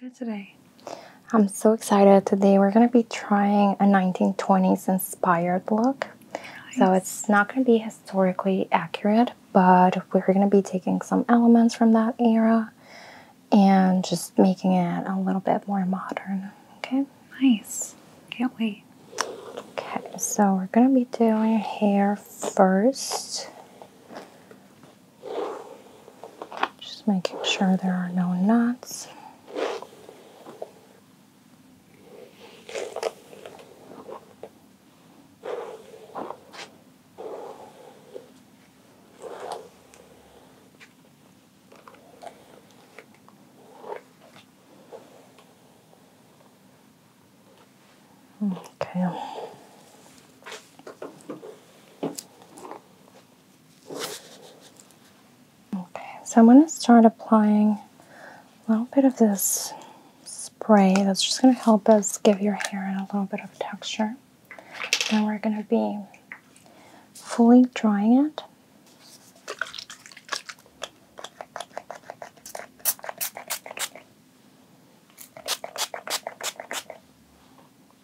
Good today. I'm so excited. Today we're going to be trying a 1920s inspired look. So it's not going to be historically accurate, but we're going to be taking some elements from that era and just making it a little bit more modern. Okay? Nice. Can't wait. Okay, so we're going to be doing hair first. Just making sure there are no knots. Okay. Okay, so I'm going to start applying a little bit of this spray that's just going to help us give your hair a little bit of texture. Then we're going to be fully drying it.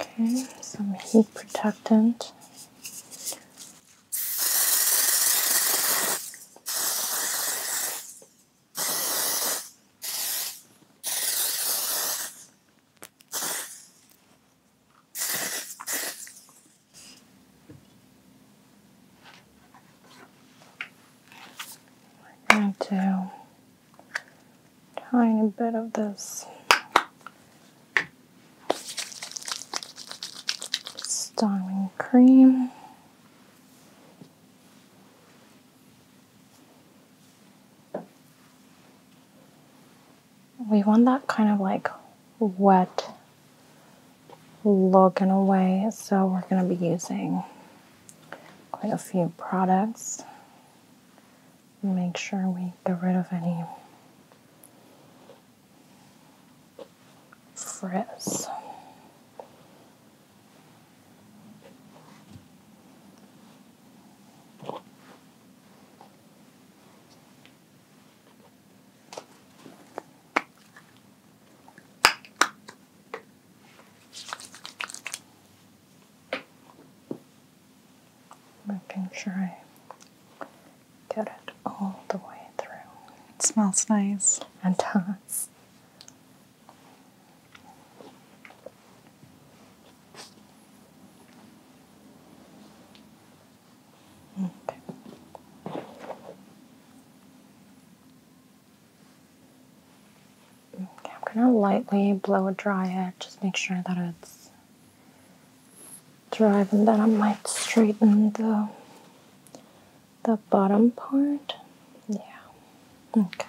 Okay, some heat protectant. We're tiny bit of this styling cream. We want that kind of like wet look in a way, so we're going to be using quite a few products make sure we get rid of any frizz making sure I get it all the way through. It smells nice. And does. Okay. okay, I'm gonna lightly blow dry it, just make sure that it's Driving that, I might straighten the the bottom part. Yeah. Okay.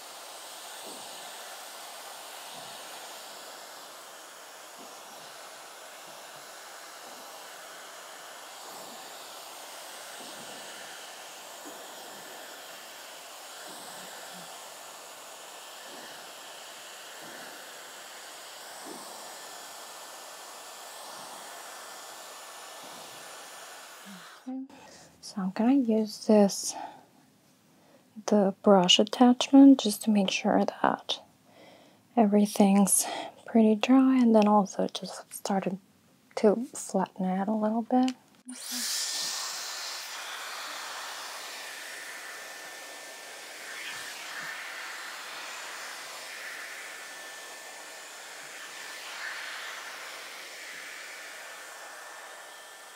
So I'm gonna use this the brush attachment just to make sure that everything's pretty dry and then also just started to flatten it a little bit.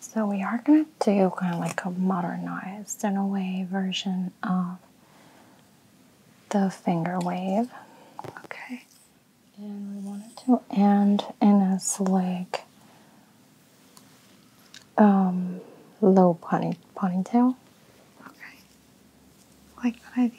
So we are going to do kind of like a modernized in a way version of the finger wave. Okay. And we want it to end in a slick um, low pony ponytail. Okay. Like that idea.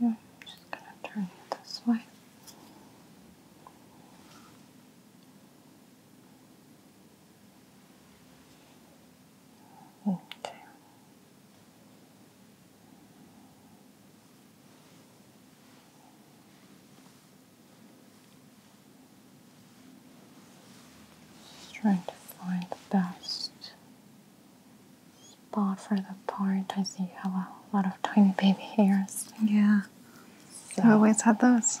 I'm just going to turn it this way. Okay trying to find the best spot for the part. I see you have a lot of tiny baby hairs. Yeah. I always had those.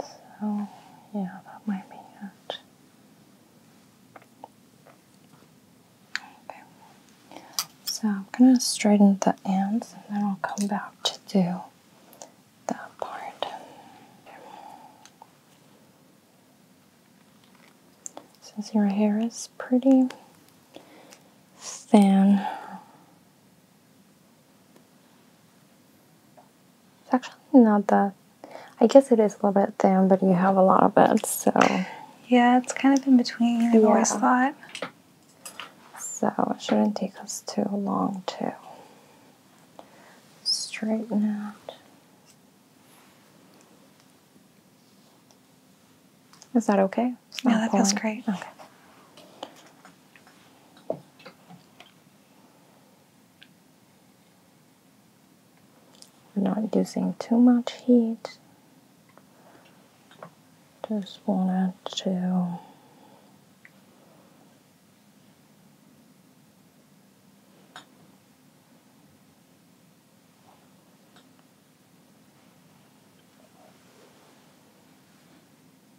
So, yeah, that might be it. Okay. So, I'm going to straighten the ends and then I'll come back to do that part. Since your hair is pretty thin, it's actually not that. I guess it is a little bit thin, but you have a lot of it, so. Yeah, it's kind of in between, i always thought. So it shouldn't take us too long to straighten out. Is that okay? Yeah, no, that feels great. Okay. We're not using too much heat. Just wanted to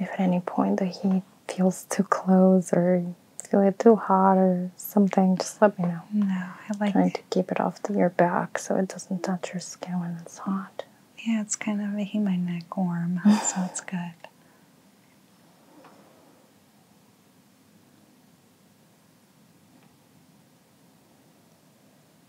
If at any point the heat feels too close or feels too hot or something, just let me know. No, I like trying to keep it off your back so it doesn't touch your skin when it's hot. Yeah, it's kind of making my neck warm, so it's good.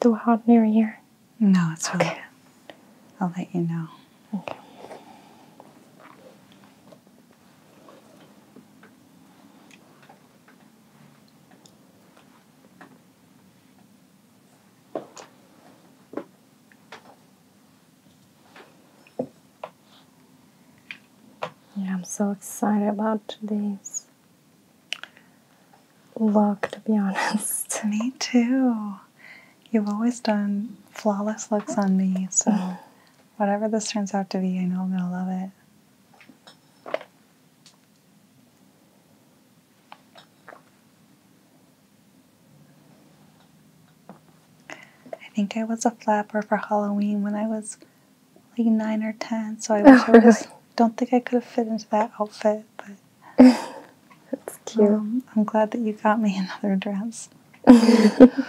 Do a hot mirror here? No, it's okay. Really, I'll let you know. Yeah, I'm so excited about today's look, to be honest. Me too. You've always done flawless looks on me, so mm. whatever this turns out to be, I know I'm going to love it. I think I was a flapper for Halloween when I was like nine or ten, so I oh, don't think I could have fit into that outfit, but that's cute. Um, I'm glad that you got me another dress.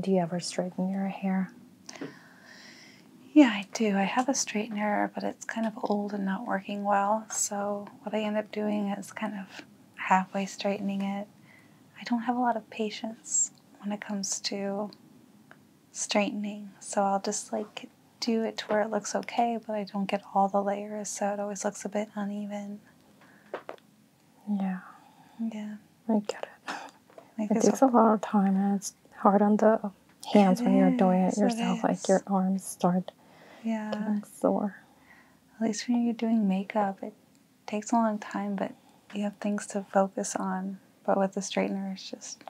Do you ever straighten your hair? Yeah, I do. I have a straightener, but it's kind of old and not working well. So what I end up doing is kind of halfway straightening it. I don't have a lot of patience when it comes to straightening. So I'll just like do it to where it looks okay, but I don't get all the layers, so it always looks a bit uneven. Yeah. Yeah. I get it. it takes a lot of time and it's hard on the hands when you're doing it yourself. like your arms start yeah. getting sore. At least when you're doing makeup, it takes a long time, but you have things to focus on. But with the straightener, it's just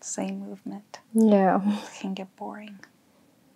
same movement. Yeah. can get boring.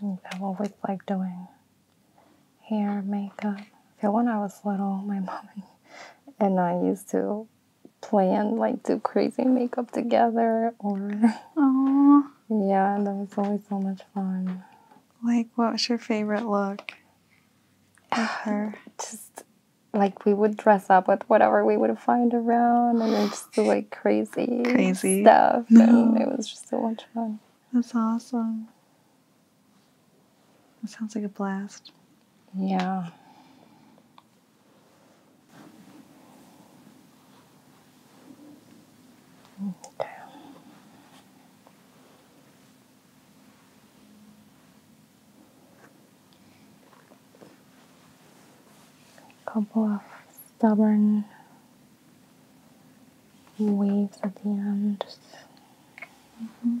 And I've always liked doing hair, makeup. So when I was little, my mom and I used to plan like do crazy makeup together or Oh. Yeah, that was always so much fun. Like, what was your favorite look with her? just like we would dress up with whatever we would find around and then just do like crazy, crazy stuff. And it was just so much fun. That's awesome. That sounds like a blast. Yeah. Okay. A couple of stubborn waves at the end. Mm -hmm.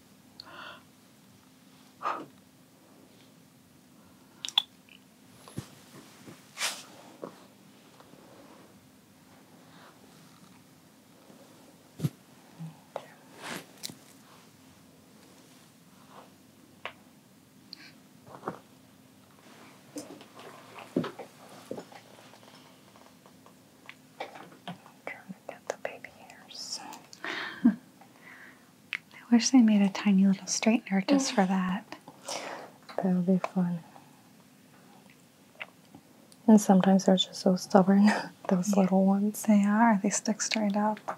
I'm trying Got the baby hairs. I wish they made a tiny little straightener just for that. That would be fun. And sometimes they're just so stubborn, those little ones. They are, they stick straight up.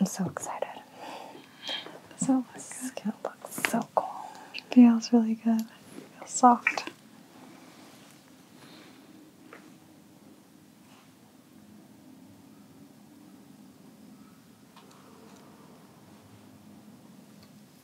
I'm so excited. So this oh skin looks so cool. Feels really good. Feels soft.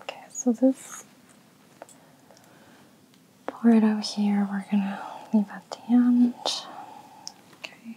Okay, so this part over here we're gonna leave at the end. Okay.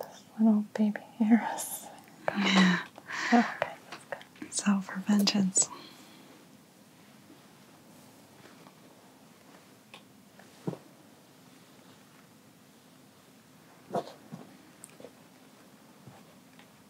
This little baby here is. Yeah. Oh, okay, that's good. It's out for vengeance.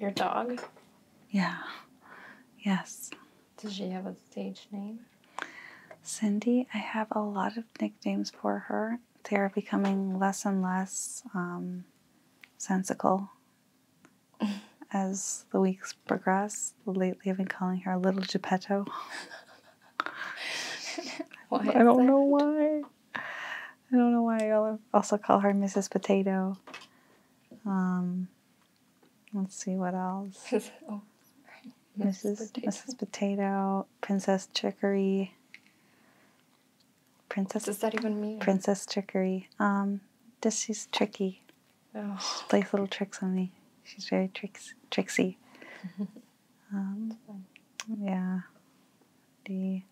Your dog? Yeah. Yes. Does she have a stage name? Cindy, I have a lot of nicknames for her. They are becoming less and less um, sensical as the weeks Progress Lately, I've been calling her a Little Geppetto. I don't know why. I don't know why. I also call her Mrs. Potato. Um, let's see what else. Mrs. Oh, Potato. Princess Trickery. Princess. What does that even mean? Princess Trickery. Um, this is tricky. She plays little tricks on me. She's very tricksy. Um, yeah. The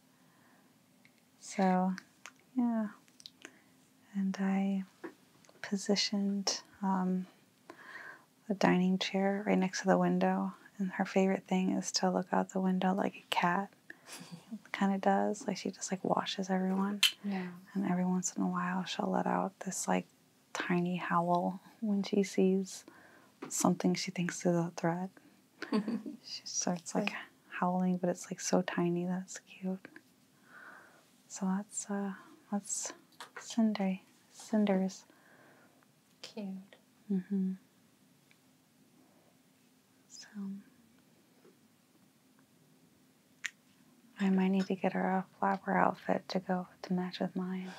so yeah, and I positioned um, the dining chair right next to the window, and her favorite thing is to look out the window like a cat. kind of does like she just like washes everyone yeah and every once in a while she'll let out this like tiny howl when she sees something she thinks is a threat. she starts like howling, but it's like so tiny. That's cute. So that's uh, that's Cinder, Cinder's. Cute. Mhm. So. I might need to get her a flapper outfit to go to match with mine.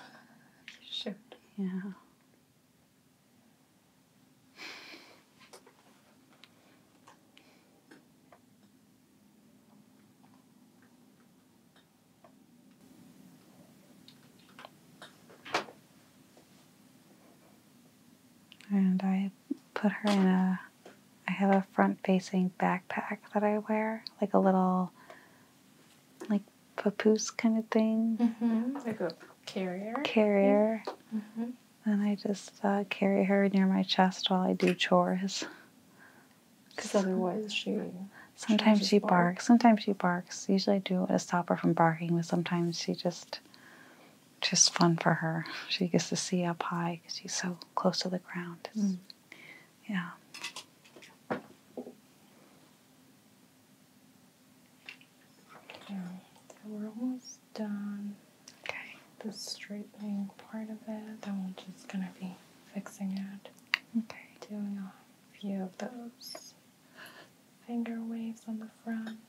Shoot. Yeah. And I put her in a I have a front facing backpack that I wear, like a little, like papoose kind of thing. Mm-hmm, like a carrier. Carrier. Mm-hmm. And I just uh, carry her near my chest while I do chores. Because otherwise she. Sometimes she, barks. Sometimes she barks. Usually I do to stop her from barking, but sometimes she just. Just fun for her. She gets to see up high because she's so close to the ground. Yeah. So we're almost done. Okay. The straightening part of it, That one's just gonna be fixing it. Okay. Doing a few of those finger waves on the front.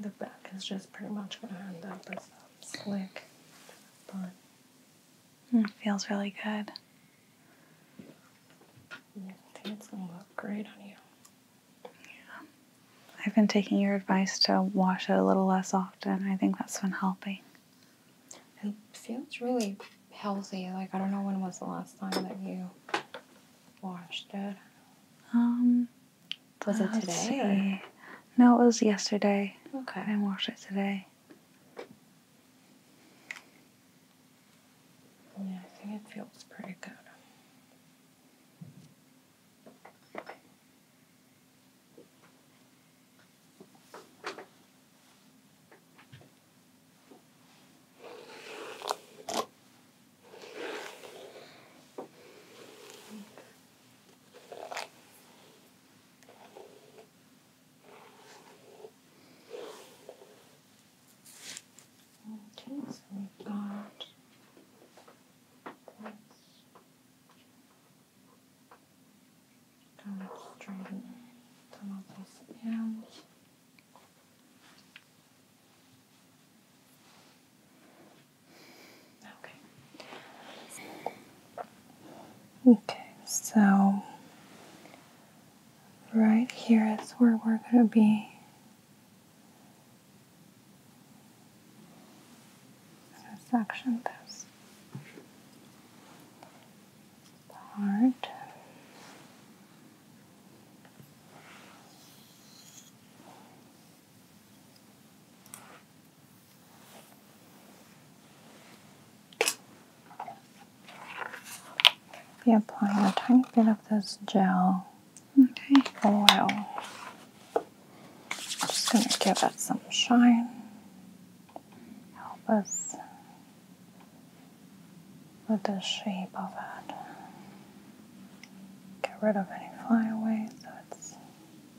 The back is just pretty much gonna end up as slick bun. It feels really good. I think it's gonna look great on you. Yeah. I've been taking your advice to wash it a little less often. I think that's been helping. It feels really healthy. Like I don't know when was the last time that you washed it. Um was it today? No, it was yesterday. Okay. I didn't wash it today. Yeah, I think it feels pretty good. Okay, so we've got this kind of straighten some of Okay. Okay, so right here is where we're going to be. Section this part. Be applying a tiny bit of this gel okay. oil. Oh, I'm just going to give it some shine. Help us with the shape of it. Get rid of any flyaways so it's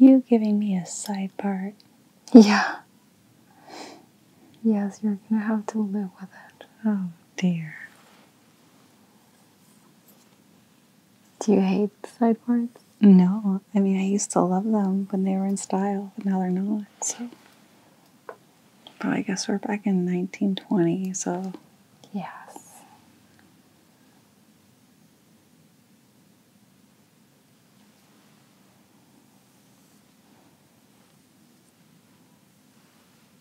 Are you giving me a side part? Yeah. Yes, you're gonna have to live with it. Oh dear. Do you hate sideboards? No. I mean, I used to love them when they were in style, but now they're not. So, but I guess we're back in 1920, so. Yes.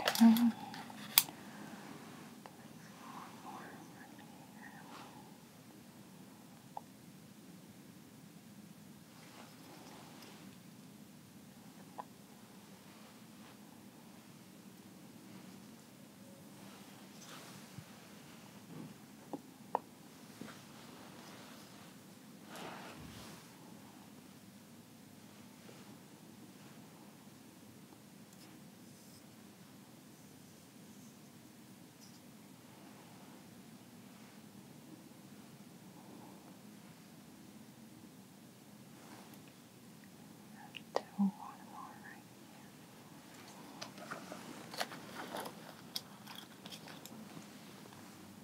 Okay. Mm-hmm. Okay. Do one more right here.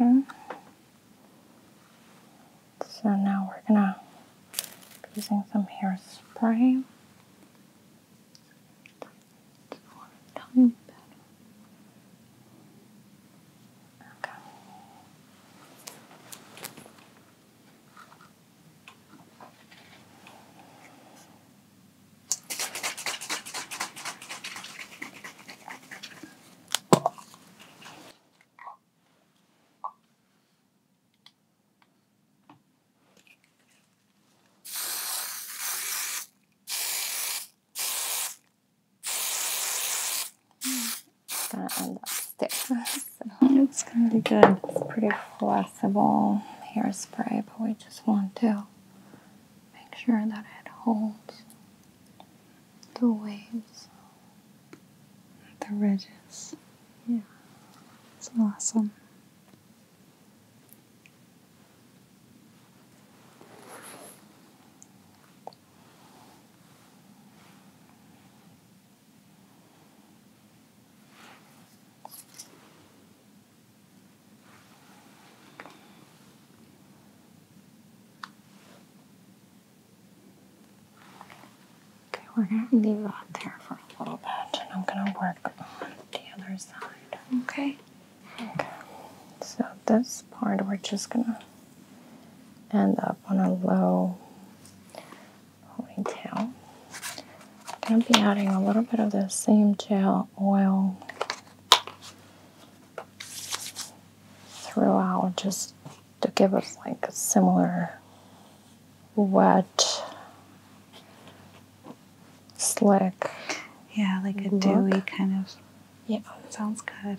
Okay. So now we're gonna using some hairspray and that's thick. So. It's going to be good. It's pretty flexible hairspray, but we just want to make sure that it holds the waves, the ridges. Yeah, it's awesome. Okay, we're going to leave that there for a little bit and I'm going to work on the other side. Okay. Okay. So this part we're just going to end up on a low ponytail. I'm going to be adding a little bit of the same gel oil throughout just to give us like a similar wet, slick. Yeah, like a look. dewy kind of. Yeah. Sounds good.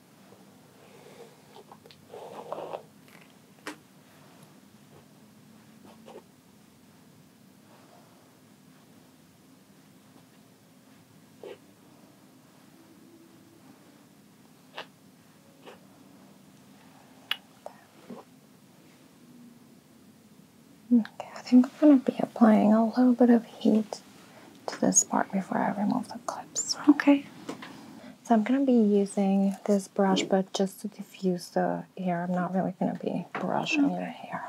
Okay, I think I'm going to be applying a little bit of heat to this part before I remove the clips. Okay. So I'm gonna be using this brush, but just to diffuse the hair, I'm not really gonna be brushing okay. hair.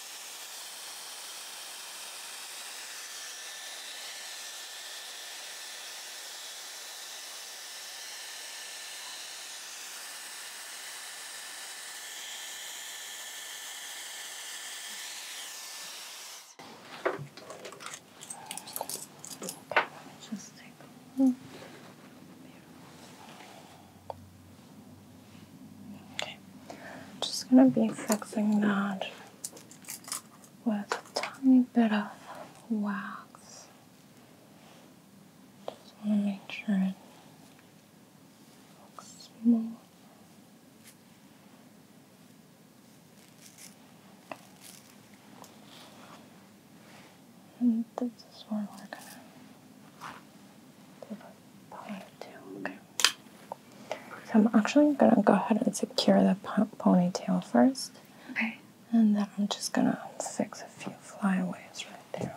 Just take Okay. I'm just gonna be fixing that with a tiny bit of wax. Just want to make sure it looks smooth. And this is where we're gonna give a pie to, okay? So I'm actually going to go ahead and secure the ponytail first. And then I'm just going to fix a few flyaways right there.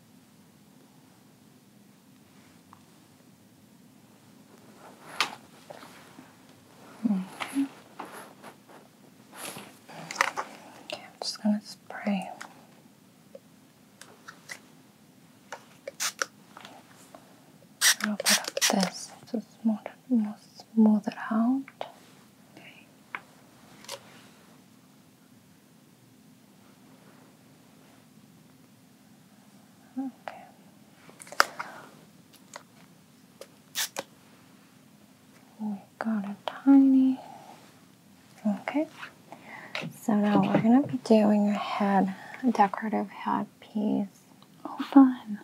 Okay. okay, I'm just going to spray. A little bit of this to smooth, more smooth it out. Okay. We got a tiny. Okay. So now we're gonna be doing a head, decorative head piece. Oh, fun.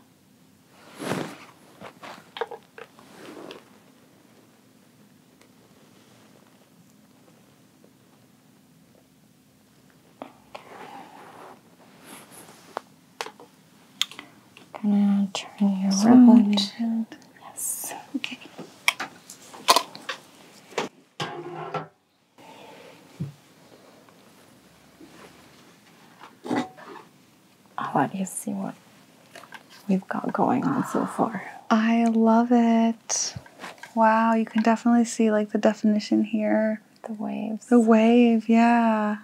Gonna turn you so around. Yes. Okay. I'll let see what we've got going on so far. I love it. Wow, you can definitely see like the definition here. The waves. The wave, yeah.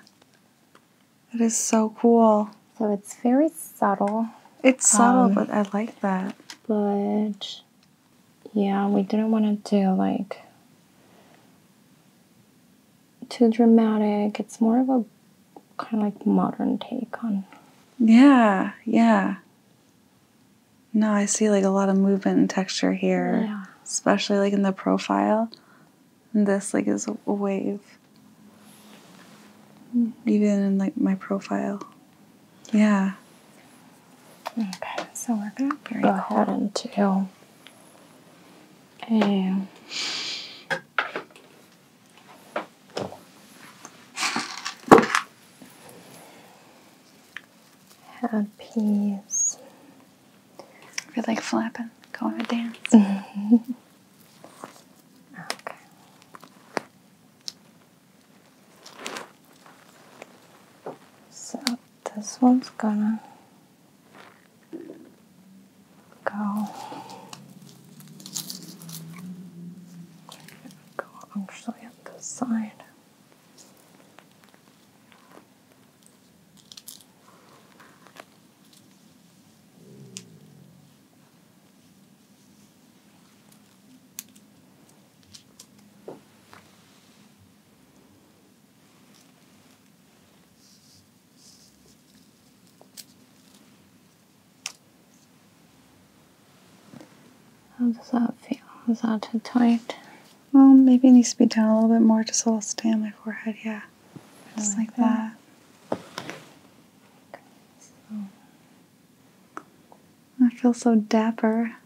It is so cool. So it's very subtle. It's subtle, um, but I like that. But yeah, we didn't want to do like too dramatic. It's more of a kind of like modern take on. Yeah, yeah. No, I see like a lot of movement and texture here, especially like in the profile. And this like is a wave. Even in like my profile. Yeah. Okay, so we're gonna go ahead and do and. Happies. you Feel like flapping, going a dance. okay. So this one's gonna go go actually at this side. How does that feel? Is that too tight? Well, maybe it needs to be down a little bit more, just a little stay on my forehead, yeah. Just like, that. I feel so dapper.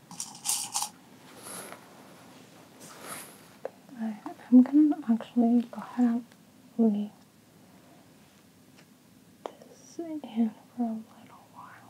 Right, I'm gonna actually go ahead and leave this in for a little while.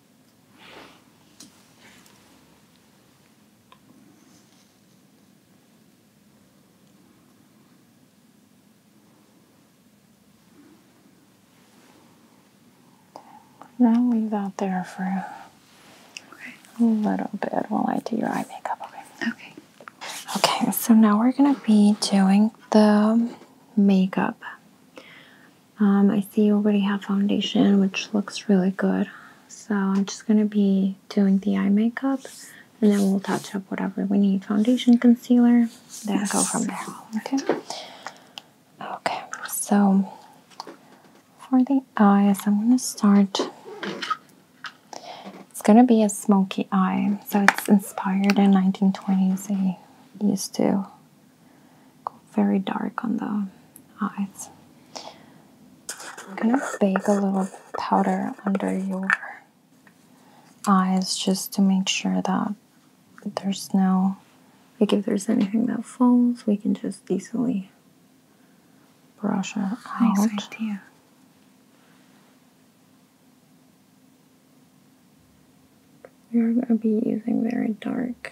I'll leave that there for a little bit while I do your eye makeup. Okay. Okay. So now we're gonna be doing the makeup. Um, I see you already have foundation, which looks really good. So I'm just going to be doing the eye makeup and then we'll touch up whatever we need foundation, concealer, then go from there. Okay. Okay, so for the eyes, I'm going to start. It's going to be a smoky eye. So it's inspired in 1920s. They used to go very dark on the eyes. I'm gonna bake a little powder under your eyes just to make sure that there's no like if there's anything that falls we can just easily brush it out. Nice idea. You're gonna be using very dark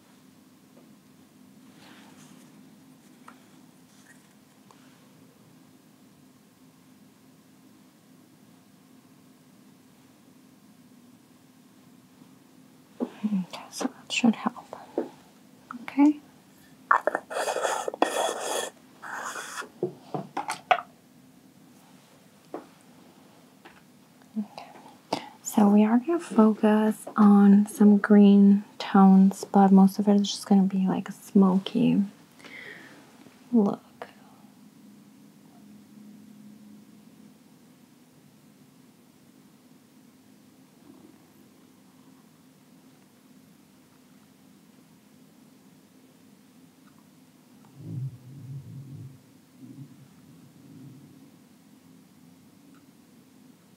Okay, so that should help. Okay. Okay. So we are going to focus on some green tones, but most of it is just going to be like a smoky look.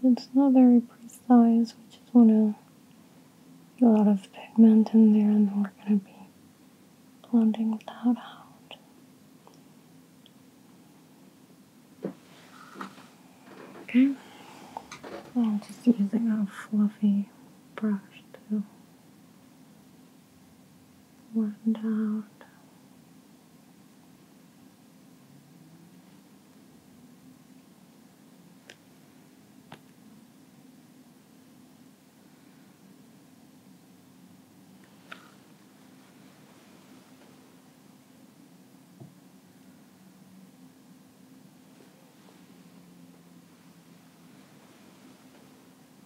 But it's not very precise, we just want to get a lot of pigment in there and we're going to be blending that out. Okay, I'm just using a fluffy brush too one down.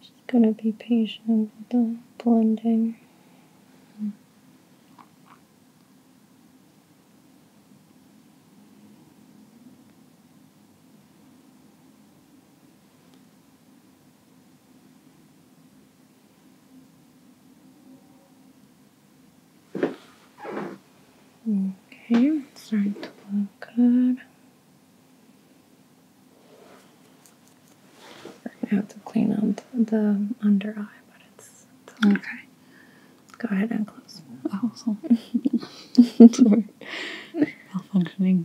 Just going to be patient with the blending. Okay, starting to look good. We're gonna have to clean up the under eye, but it's, it's okay. okay. Go ahead and close. Oh, sorry. Malfunctioning.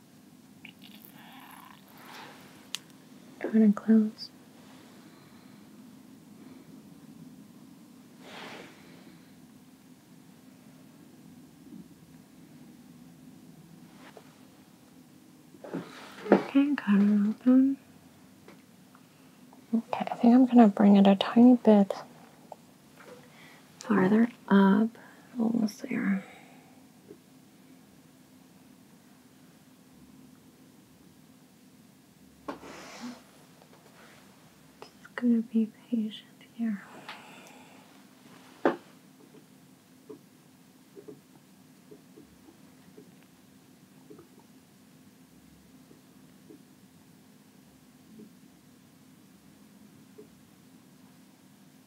I'm gonna close. Okay, cut it open. Okay, I think I'm gonna bring it a tiny bit farther up. Almost there. Just gonna be patient here.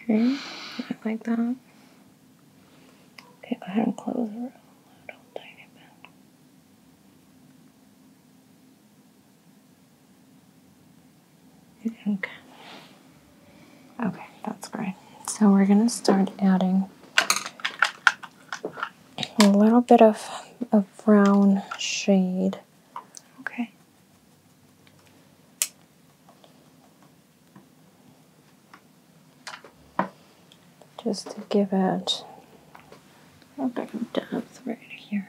Okay, not like that. Okay, go ahead and close the room. Don't tighten it back. Okay. Okay, that's great. So we're gonna start adding a little bit of a brown shade. Okay just to give it a bit of depth right here.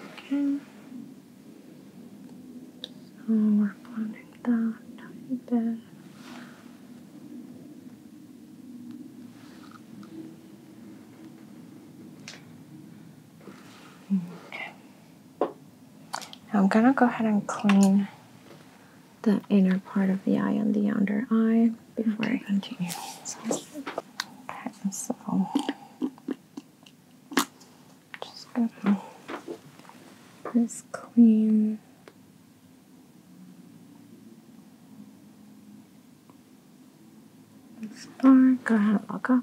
Okay. So we're blending that a bit. Okay. I'm gonna go ahead and clean the inner part of the eye and the under eye before I continue. So, okay, so just going this clean. This bar, go ahead, look up.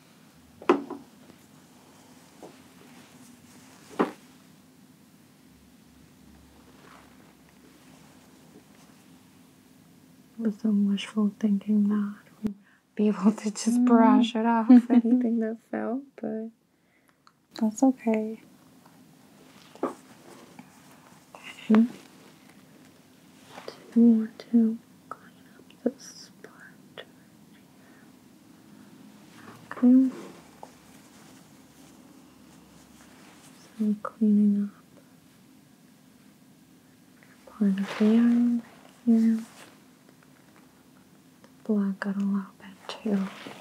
Was some wishful thinking that we be able to just mm. brush it off anything that fell, but that's okay. To want to clean up this part? Okay. So cleaning up part of the eye here. The blood got a little bit too much.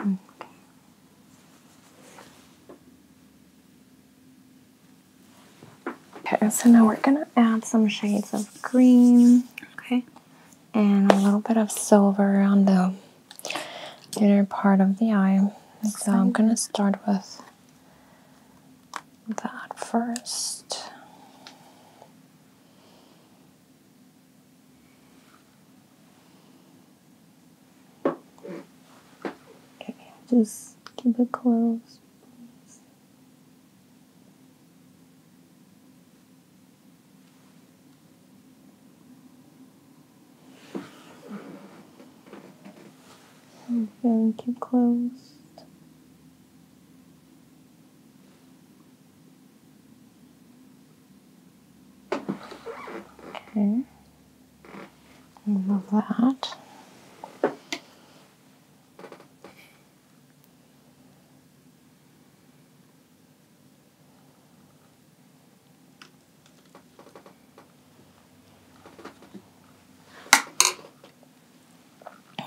Okay. okay, so now we're gonna add some shades of green. Okay and a little bit of silver on the inner part of the eye. So I'm gonna start with that first. just keep it closed. And keep closed. Okay. Remove that.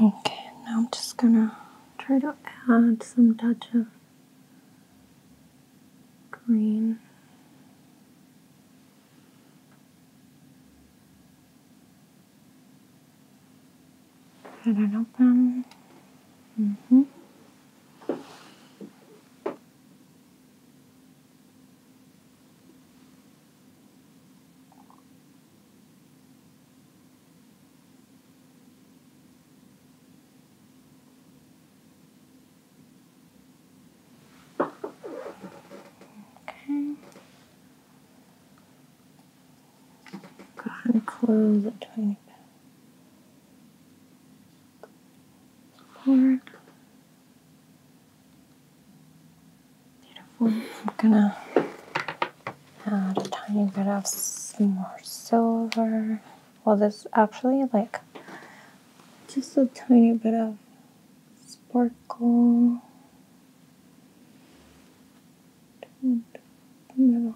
Okay, now I'm just gonna try to add some touch of green had it open. Mm -hmm. Okay. I'm gonna close it. tiny bit. Forward. Beautiful. I'm gonna add a tiny bit of some more silver. Well, this actually like just a tiny bit of sparkle move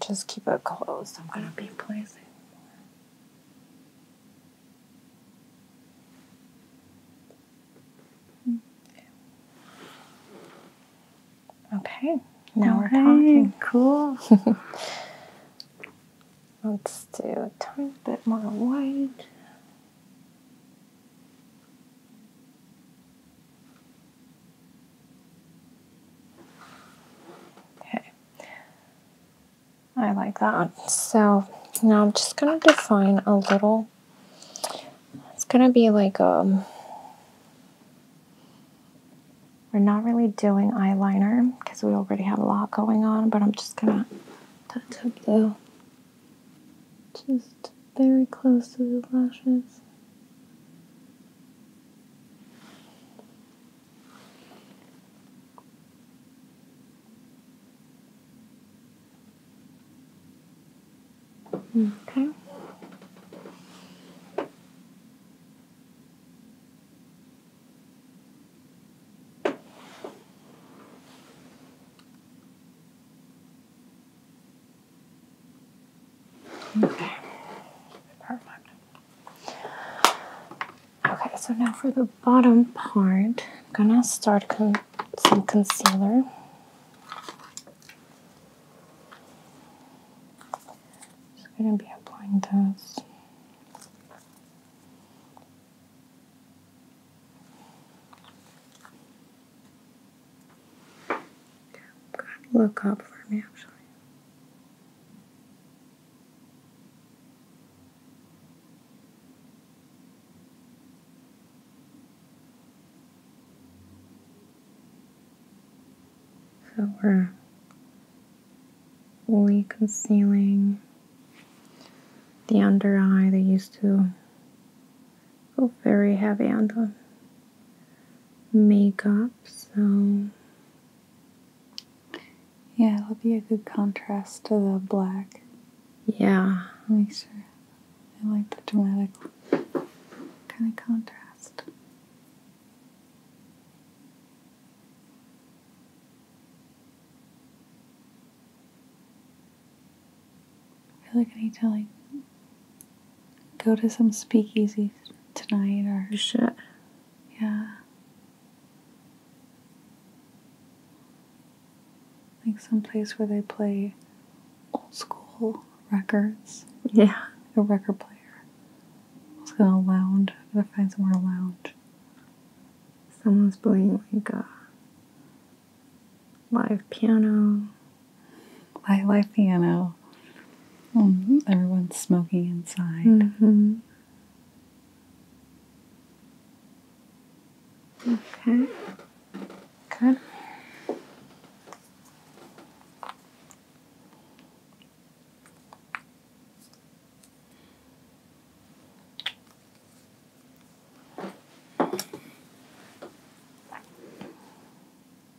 just keep it closed. I'm going to be placing. Okay, now we're talking. Cool. Let's do a tiny bit more white. Okay, I like that. So now I'm just going to define a little, it's going to be like a, um, we're not really doing eyeliner because we already have a lot going on, but I'm just going to touch just very close to the lashes. Okay. Okay. Perfect. Okay, so now for the bottom part, I'm gonna start con some concealer. Just gonna be applying this look up for me, actually. So we're fully concealing the under eye that used to go very heavy under makeup, so. Yeah, it'll be a good contrast to the black. Yeah. Make sure. I like the dramatic kind of contrast. I feel like I need to like go to some speakeasy tonight or shit. Yeah. Like some place where they play old school records. Yeah. a record player. I was gonna lounge. gotta find somewhere to lounge. Someone's playing like a live piano. Live, live piano. Mm-hmm. everyone's smoking inside. mm Okay. Good.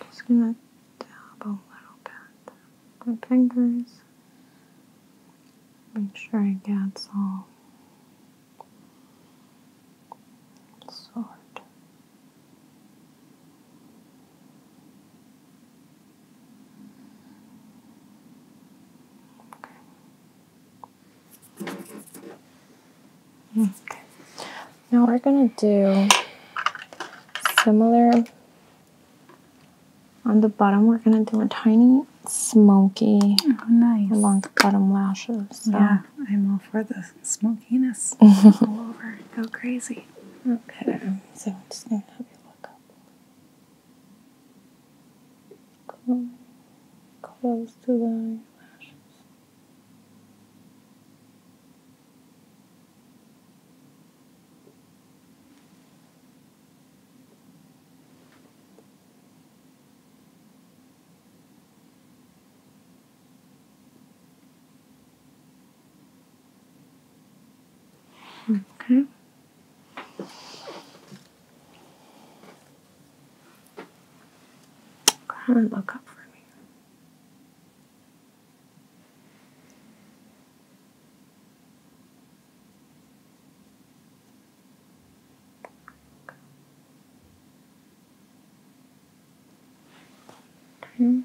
Just gonna dab a little bit with fingers. Make sure it gets all sort. Okay. Okay. Now we're going to do similar on the bottom. We're going to do a tiny smoky oh, nice. along the bottom lashes. So. Yeah, I'm all for this smokiness all over. Go crazy. Okay, so I'm just going to have you look up. Close, close to the eyelashes. Okay. Kind of look up for me. Down. Hmm.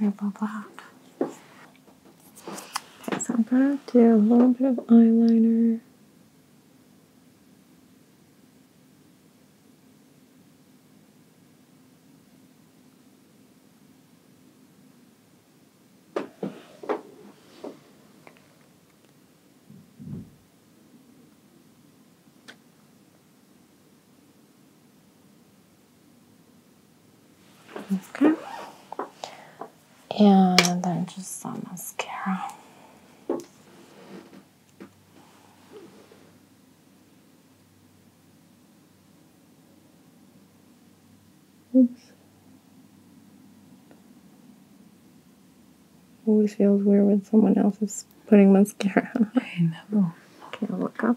rubber black. Okay, so I'm gonna do a little bit of eyeliner. Okay. And then just some mascara. Oops. Always feels weird when someone else is putting mascara on. I know. Can look up?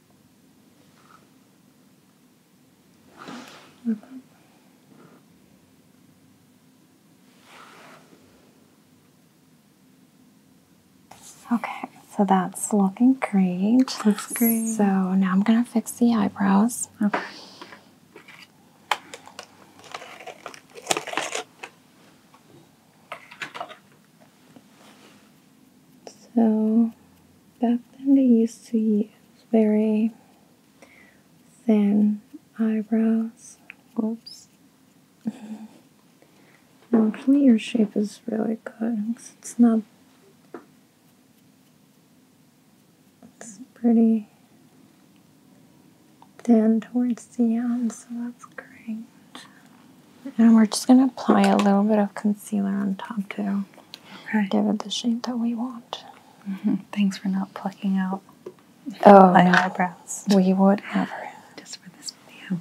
Look Okay, so that's looking great. Looks great. So now I'm gonna fix the eyebrows. Okay. So back then they used to use very thin eyebrows. Whoops. no, actually your shape is really good. It's not it's pretty thin towards the end, so that's great. And we're just going to apply a little bit of concealer on top to give it the shape that we want. Mm-hmm. Thanks for not plucking out oh, my eyebrows. We would never. Just for this video.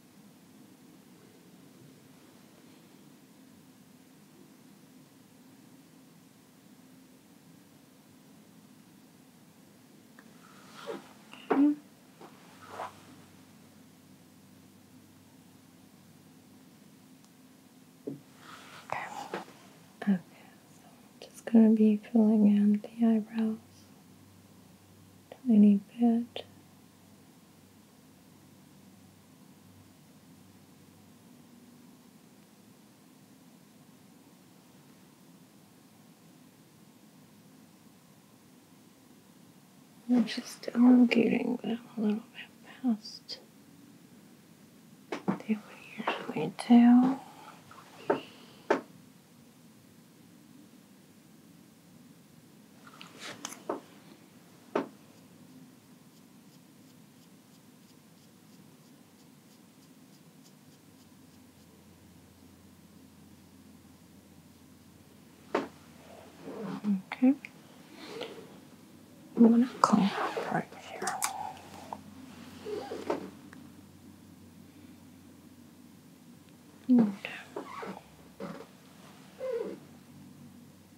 Okay, so I'm just going to be filling in the eyebrows tiny bit I'm just elongating them a little bit past they would usually do. Okay. I'm to clean right here. Okay.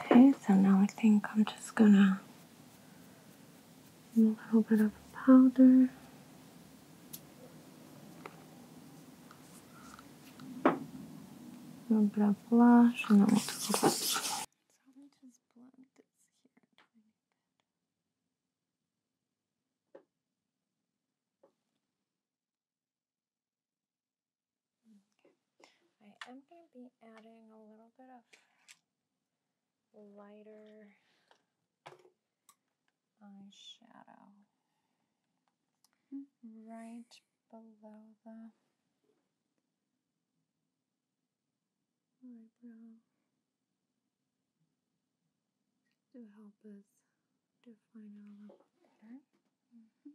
Okay, so now I think I'm just gonna do a little bit of powder. A little bit of blush and then we'll do the lips. I am going to be adding a little bit of lighter eyeshadow right below the eyebrow to help us define our look better. Mm-hmm.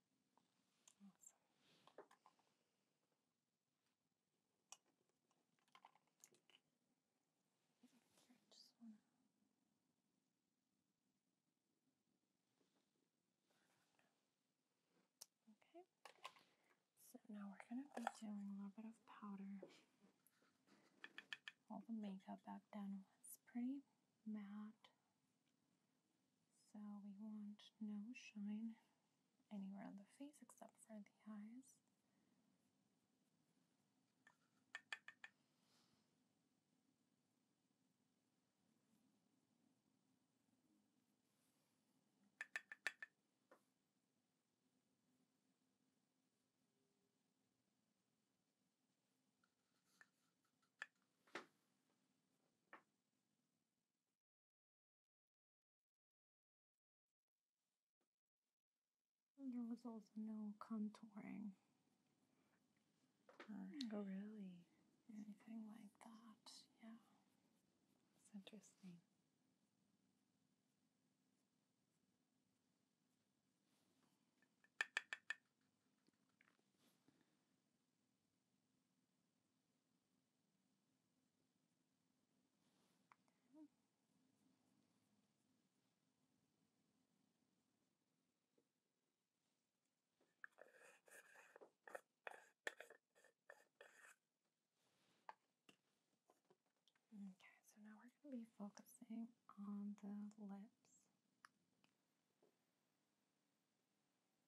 Okay. So now we're gonna be doing a little bit of powder. All the makeup back have done was pretty matte. So we want no shine anywhere on the face except for the eyes. There was also no contouring oh, really anything like that. Yeah, it's interesting. Okay. so now we're going to be focusing on the lips.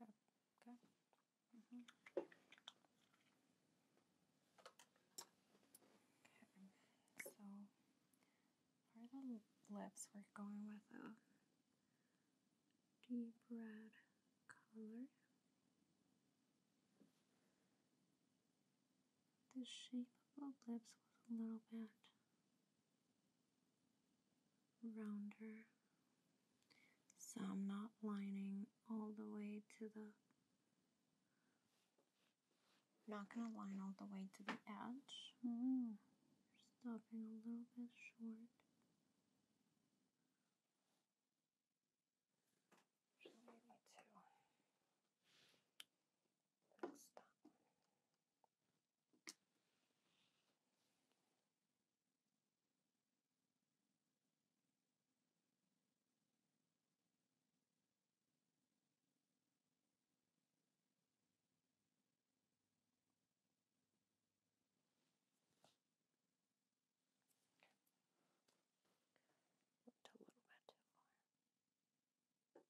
Mm-hmm. Okay. So for the lips, we're going with a deep red color. The shape of the lips was a little bit rounder. So I'm not lining all the way to the not going to line all the way to the edge. Hmm, stopping a little bit short. So we Looked a little bit too far. Okay,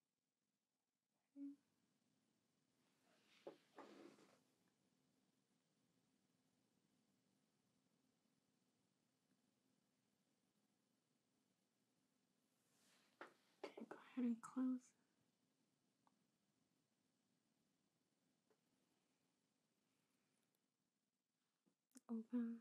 go ahead and close. Open.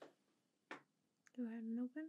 Okay. Go ahead and open.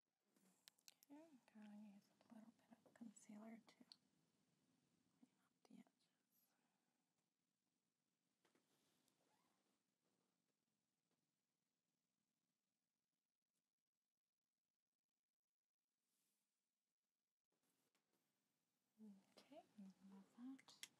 Okay, I'm going to use a little bit of concealer to clean up the edges. Okay, remove that.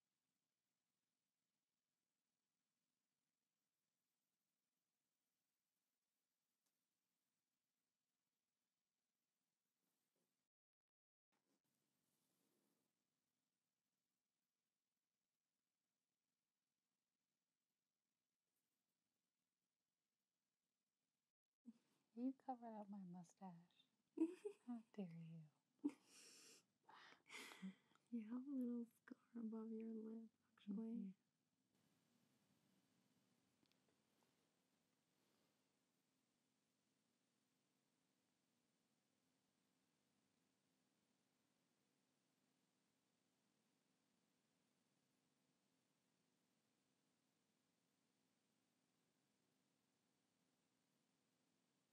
You covered up my mustache. How dare you? you have a little scar above your lip, actually. Mm-hmm.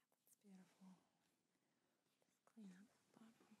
that's beautiful. Just clean up the bottom.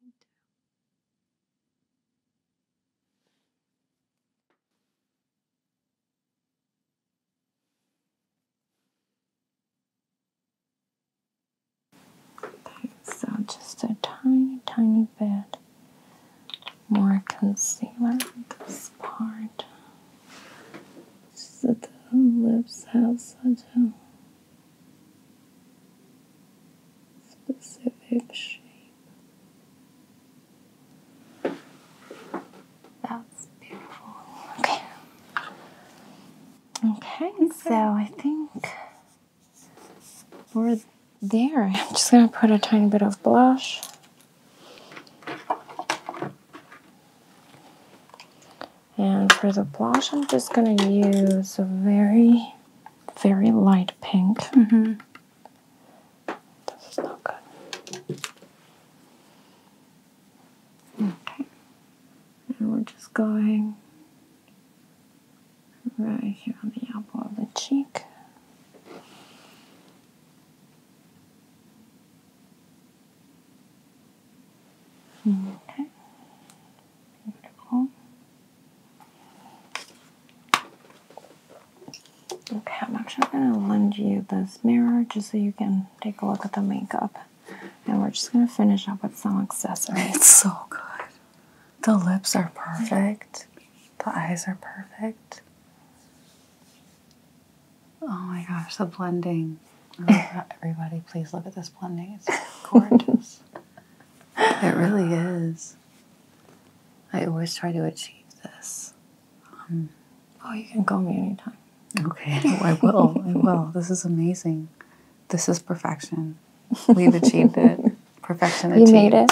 Just need to so just a tiny, tiny bit more concealer on this part. So that the lips have such a specific shape. That's beautiful. Okay. Okay, so I think we're there. I'm just going to put a tiny bit of blush. And for the blush, I'm just going to use a very, very light pink. Mm-hmm. This is not good. Okay. And we're just going right here on the apple of the cheek. Okay. Beautiful. Okay, I'm actually going to lend you this mirror just so you can take a look at the makeup. And we're just going to finish up with some accessories. It's so good. The lips are perfect. The eyes are perfect. Oh my gosh, the blending. everybody, please look at this blending. It's gorgeous. it really is. I always try to achieve this. Um, oh, you can call me anytime. Okay, I will. I will. This is amazing. This is perfection. We've achieved it. Perfection you achieved. made it.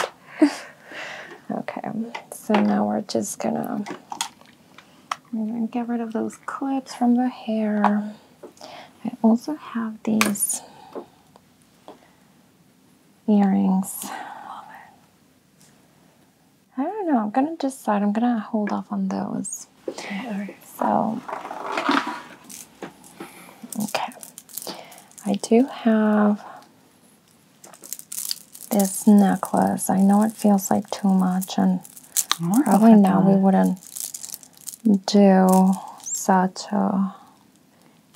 okay, so now we're just gonna get rid of those clips from the hair. I also have these earrings. I don't know. I'm gonna decide. I'm gonna hold off on those. So, okay. I do have this necklace. I know it feels like too much, and probably now we wouldn't do such a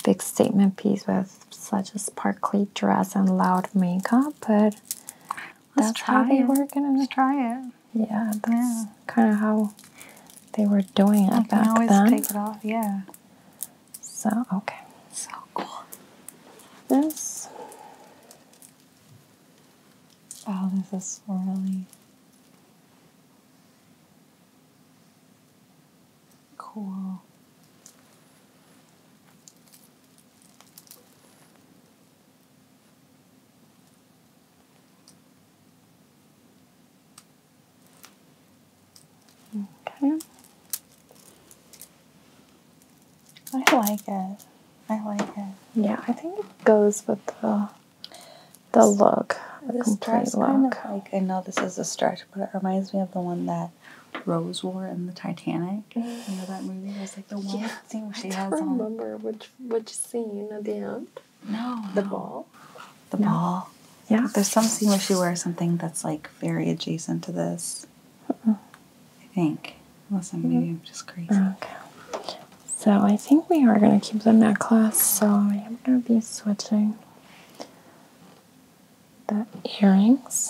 big statement piece with such a sparkly dress and loud makeup, but Let's that's how they it. Let's try it. Yeah, that's kind of how they were doing it back then. yeah. So okay. So cool. This. Oh, this is really cool. Okay. I like it. I like it. Yeah, I think it goes with the the look. This dress look. kind of like I know this is a stretch, but it reminds me of the one that Rose wore in the Titanic. You know that movie was like the one scene where she I don't remember which which scene at the end. No, the ball. The ball. Yeah, there's some scene where she wears something that's like very adjacent to this. I think, unless i maybe I'm mm-hmm. just crazy. Okay. So I think we are gonna keep the necklace. So I am gonna be switching the earrings.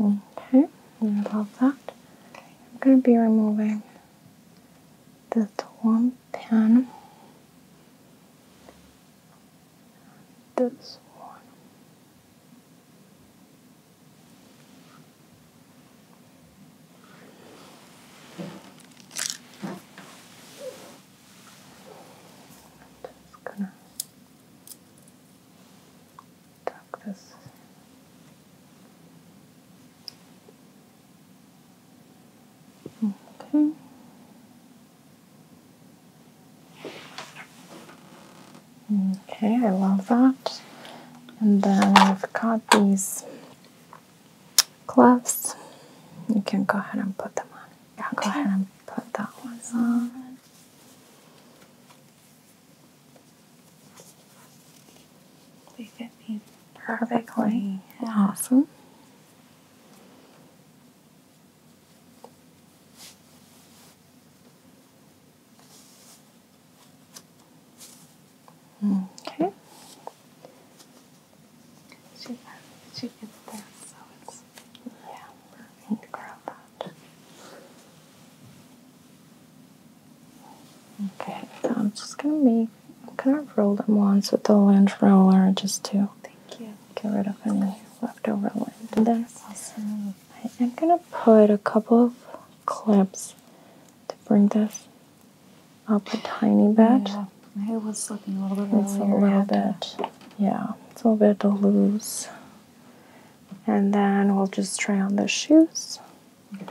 Okay, you love that. I'm going to be removing this one pin, this one. Just gonna tuck this okay. Okay, I love that. And then I've got these gloves. You can go ahead and put them on. I'll go ahead and put that one on. They fit me perfectly. Awesome. Okay. She she gets there, so it's yeah, we're going to grab that. Okay, I'm just gonna make I'm gonna roll them once with the lint roller just to get rid of any leftover lint. That's awesome. I am gonna put a couple of clips to bring this up a tiny bit. Yeah, hair was slipping a little bit. It's a little bit. Yeah, it's a little bit to loose. And then we'll just try on the shoes. Okay.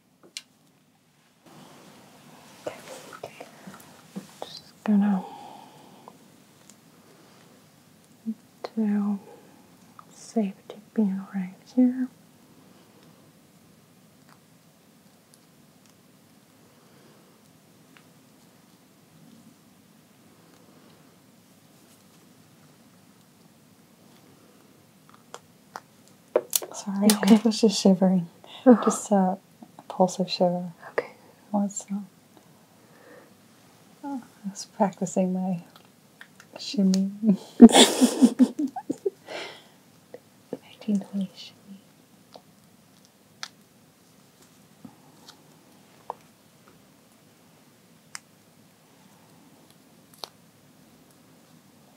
Okay. Just gonna do safety pin right here. Sorry, I was just shivering. Just a pulse of shiver. Okay. What's uh, I was practicing my shimmy. 1920 shimmy.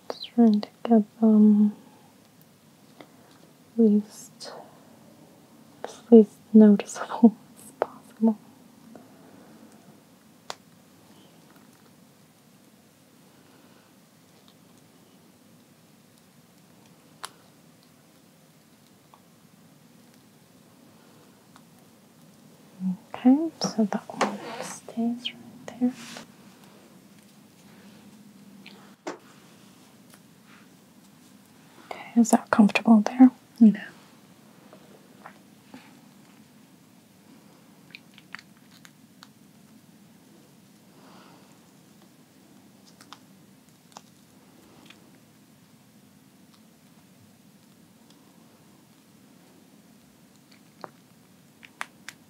Just trying to get um least least noticeable as possible. Okay, so that one stays right there. Okay, is that comfortable there? No.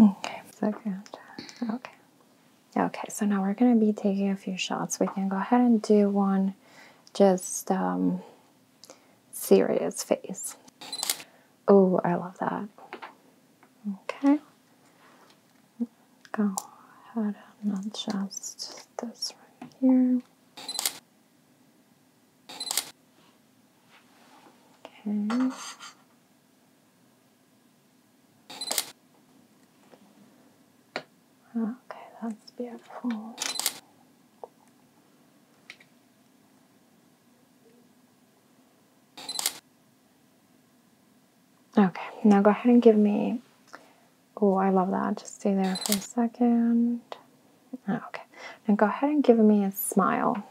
Okay, so Okay. Okay, so now we're going to be taking a few shots. We can go ahead and do one just um, serious face. Oh, I love that. Okay. Go ahead and adjust this right here. Okay. Okay, that's beautiful. Okay, now go ahead and give me. Oh, I love that. Just stay there for a second. Ah, okay, now go ahead and give me a smile.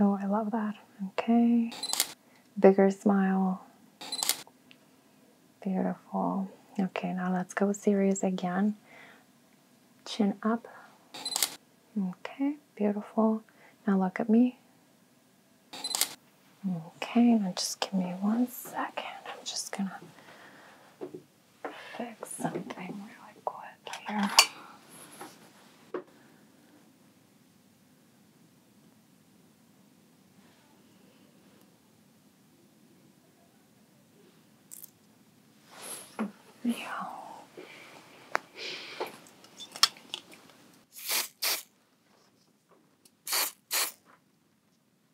Oh, I love that. Okay, bigger smile. Beautiful. Okay, now let's go serious again. Chin up. Okay, beautiful. Now look at me. Okay, now just give me one second. I'm just gonna fix something really quick here. Yeah.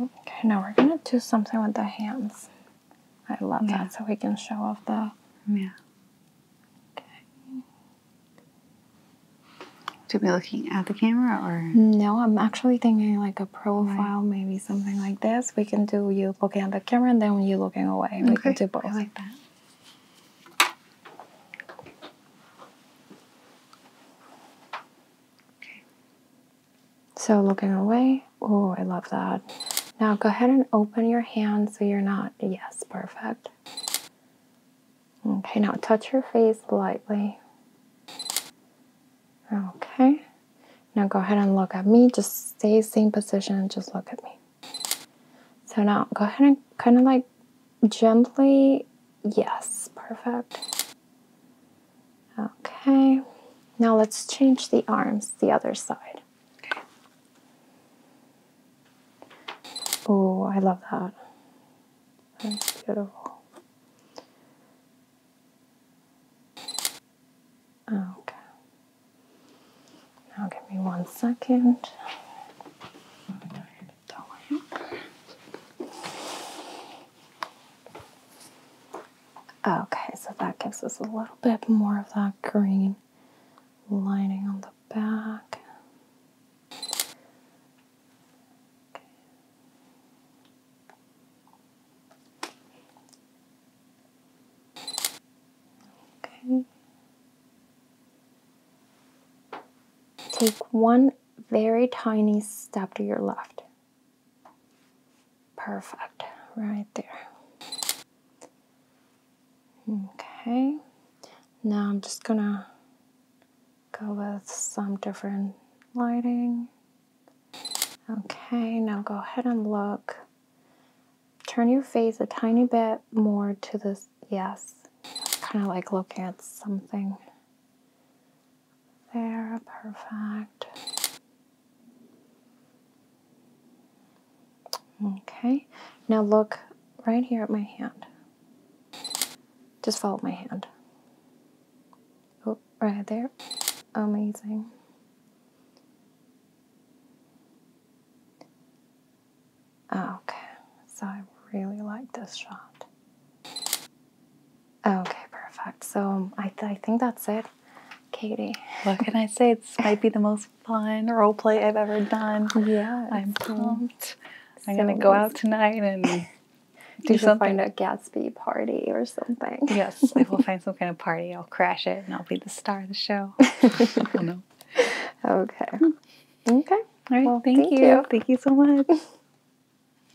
Okay, now we're gonna do something with the hands. I love that, so we can show off the. Yeah. Okay. To be looking at the camera, or no? I'm actually thinking like a profile, maybe something like this. We can do you looking at the camera, and then you looking away. We can do both. like that. Okay. So looking away. Oh, I love that. Now go ahead and open your hand so you're not. Yes, perfect. Okay, now touch your face lightly. Okay. Now go ahead and look at me. Just stay same position just look at me. So now go ahead and kind of like gently. Yes, perfect. Okay, now let's change the arms the other side. Oh, I love that. That's beautiful. Okay. Now give me one second. Okay, so that gives us a little bit more of that green lining on the back. Okay. Take one very tiny step to your left. Perfect, right there. Okay, now I'm just gonna go with some different lighting. Okay, now go ahead and look. Turn your face a tiny bit more to this, yes. Kind of like looking at something. There, perfect. Okay, now look right here at my hand. Just follow my hand. Oh, right there. Amazing. Okay, so I really like this shot. Okay, perfect. So I, think that's it, Katie. What can I say? This might be the most fun role play I've ever done. Yeah, I'm pumped. I'm gonna go out tonight and. Do you something. find a Gatsby party or something? Yes, I will find some kind of party. I'll crash it and I'll be the star of the show. oh, no. Okay. Hmm. Okay. All right. thank, you. Thank you so much.